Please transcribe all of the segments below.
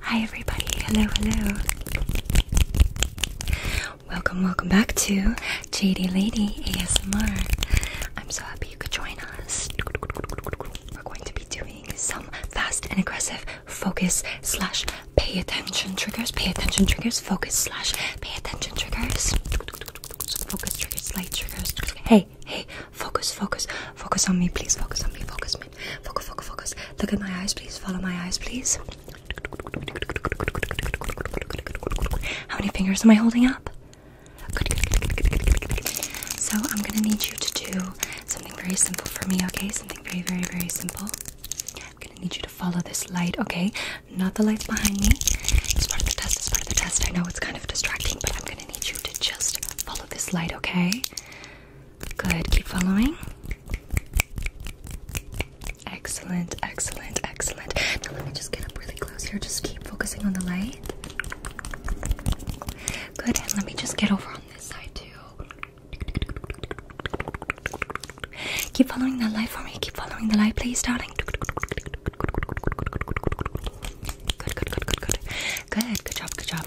Hi everybody, hello, hello. Welcome, welcome back to JD Lady ASMR. I'm so happy you could join us. We're going to be doing some fast and aggressive focus slash pay attention triggers, pay attention triggers, focus slash pay attention triggers. Focus triggers, light triggers. Hey, hey, focus, focus, focus on me, please. Focus on me, focus me. Focus, focus, focus. Look at my eyes, please. Follow my eyes, please. How many fingers am I holding up? So I'm gonna need you to do something very simple for me, okay? Something very, very, very simple. I'm gonna need you to follow this light, okay? not the lights behind me. It's part of the test, it's part of the test. I know it's kind of distracting, but I'm gonna need you to just follow this light, okay? Good, keep following. Excellent, excellent, excellent. Now let me just get up really close here. Just keep focusing on the light. Good, and let me just get over on this side too. Keep following that light for me. Keep following the light, please, darling. Good, good, good, good, good, good, good, good, good, good. Good, good, good, good, job, good job.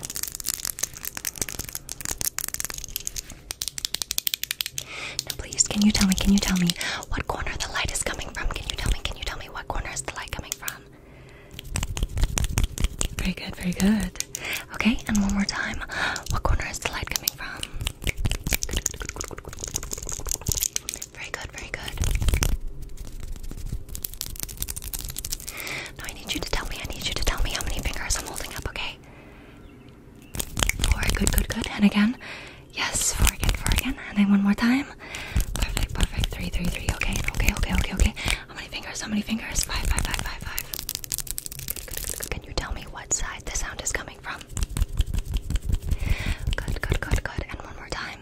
Now please, can you tell me, can you tell me what corner the light is coming from? Can you tell me, can you tell me what corner is the light coming from? Very good, very good. Okay, and one more time. What corner is the light coming from? Very good, very good. Now I need you to tell me, I need you to tell me how many fingers I'm holding up, okay? Four, good, good, good. And again. Yes, four again, four again. And then one more time. Perfect, perfect. Three, three, three. Okay, okay, okay, okay, okay. How many fingers? How many fingers? Five, five, five, five, five. Can you tell me what side the sound is coming from? Good, good, good, good. And one more time.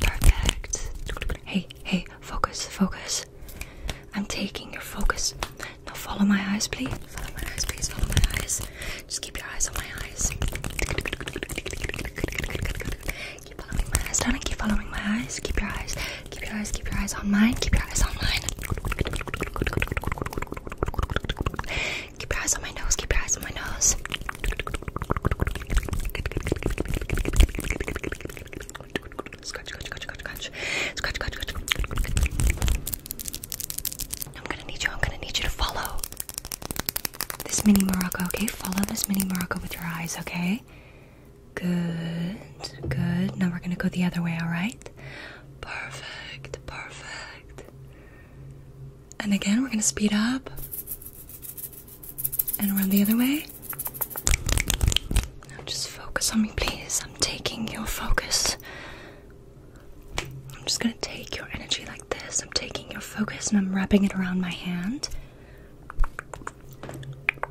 Perfect. Hey, hey, focus, focus. I'm taking your focus. Now follow my eyes, please. Follow my eyes, please. Follow my eyes. Just keep your eyes on my eyes. Keep following my eyes, darling. Keep following my eyes. Keep your eyes. Keep your eyes. Keep your eyes on mine. Keep your eyes on mine. Keep your eyes on my nose. Keep your eyes on my nose. Scratch, scratch, scratch, scratch, scratch, scratch, scratch. I'm gonna need you. I'm gonna need you to follow this mini Morocco. Okay, follow this mini Morocco with your eyes. Okay. Good. Good. Now we're gonna go the other way. All right. Perfect, perfect. And again, we're going to speed up and run the other way. just focus on me, please. I'm taking your focus. I'm just going to take your energy like this. I'm taking your focus and I'm wrapping it around my hand.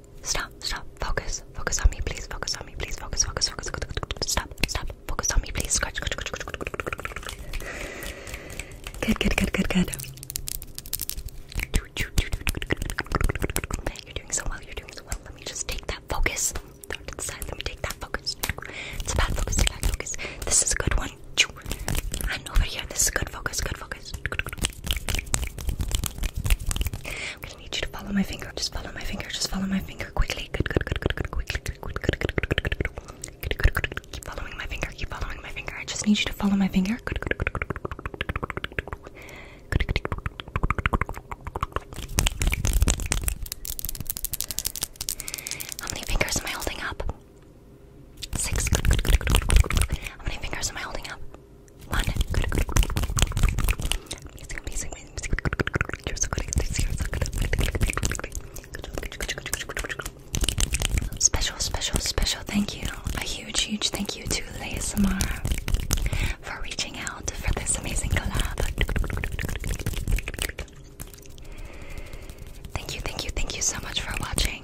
Okay, stop, stop, focus, focus on me, please, focus on me, please, focus, focus, focus, focus, stop, stop, focus on me, please, scratch, scratch, scratch, Good, good, good, good, good. You're doing so well, you're doing so well. Let me just take that focus. Throw it to the side, let me take that focus. It's a bad focus, it's a bad focus. This is a good one. And over here, this is good focus, good focus twist. I'm gonna need you to follow my finger. Just follow my finger. Just follow my finger quickly. Good, good, good, good, good, quickly, good, good, good, good, good, good, good, good, good. Keep following my finger. Keep following my finger. I just need you to follow my finger. Good, good, good, good, good, good, good, good, good, good. How many fingers am I holding up? Six. How many fingers am I holding up? Special, special, special thank you. A huge, huge thank you to Samara for reaching out for this amazing collab. Thank you, thank you, thank you so much for watching.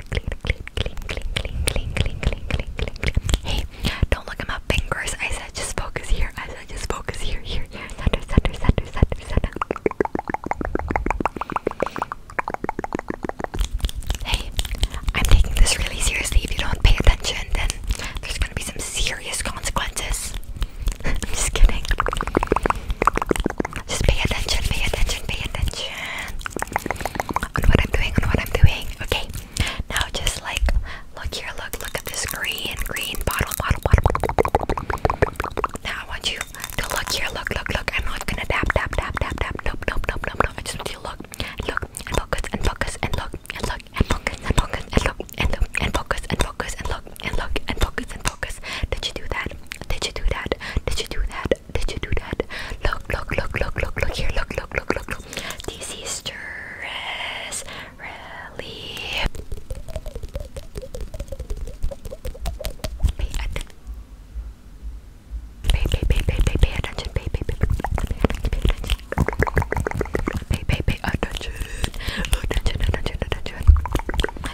Hey, don't look at my fingers. I said just focus here. I said just focus here, here, Hey, I'm taking this really seriously. If you don't pay attention, then there's gonna be some serious consequences. I'm just kidding. Just pay attention, pay attention, pay attention on what I'm doing, on what I'm doing. Okay, now just like look here, look, look at this green, green bottle, bottle, bottle. Now I want you to look here, look, look, look. I'm not gonna tap, tap, tap, tap, tap. Nope, nope, nope, nope, nope. I just want you to look, and look, and focus, and focus, and look, and look, and focus, and focus, and look, and look, and focus, and focus, and look, and look, and focus, and focus. Did you do that? Did you do that? Did you do that? Did you do that? Look, look, look, look, look, look here. Look, look, look, look, look. This is stress relief. Pay attention. Pay, pay, pay, pay, pay, pay attention. Pay, pay, pay, pay, pay attention. Pay, pay, pay attention. Attention, attention, attention.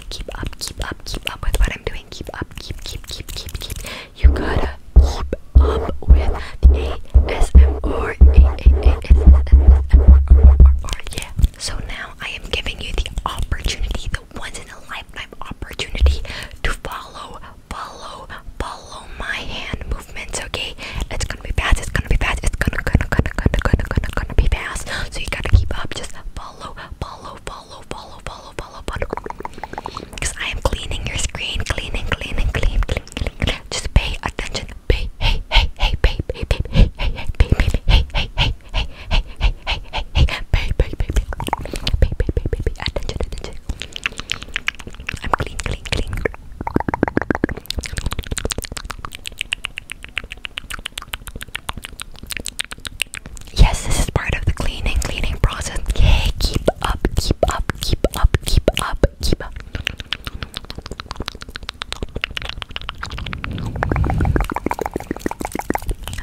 Keep up, keep up, keep up with what I'm doing doing. Keep up, keep, keep, keep, keep, keep. You gotta keep up with the ASMR. Yeah. So now I am giving you the opportunity, the once in a lifetime opportunity to follow, follow, follow my hand movements, okay? It's gonna be fast, it's gonna be fast, it's gonna gonna gonna gonna gonna gonna gonna be fast. So you gotta keep up, just follow, follow, follow follow, follow, follow, follow, follow. Because I am cleaning your screen, cleaning, cleaning, clean, clean, clean, Just pay attention. Pay, hey, hey, hey, pay, pay, hey, hey, hey, pay, pay, hey, hey, hey, hey, hey, hey, hey, hey, hey, pay, pay, pay, pay, pay, pay, pay, pay, pay, attention, attention. I'm clean, clean, clean. Yes, this is part of the cleaning, cleaning process. Yay, keep up, keep up, keep up, keep up, keep up.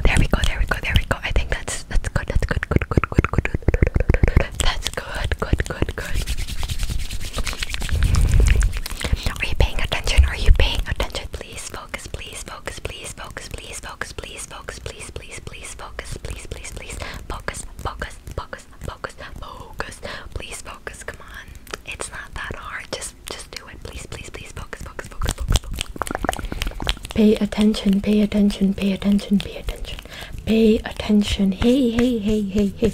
There we go, there we go, there we go. I think that's that's good, that's good, good, good, good, good, good. That's good, good, good, good. Are you paying attention? Are you paying attention? Please focus focus, please focus, please focus, please focus, please focus, please, please, please focus, please, please, please focus, focus, focus, focus, focus, please focus. Come on, it's not that hard. Just, just do it. Please, please, please focus, focus, focus, focus. Pay attention, pay attention, pay attention, pay attention, pay attention. Hey, hey, hey, hey, hey.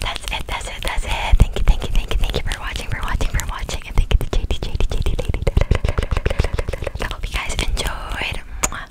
that's it, that's it, that's it. Thank you, thank you, thank you, thank you for watching, for watching, for watching, thank you to JD, JD, JD, JD. I hope you guys enjoyed.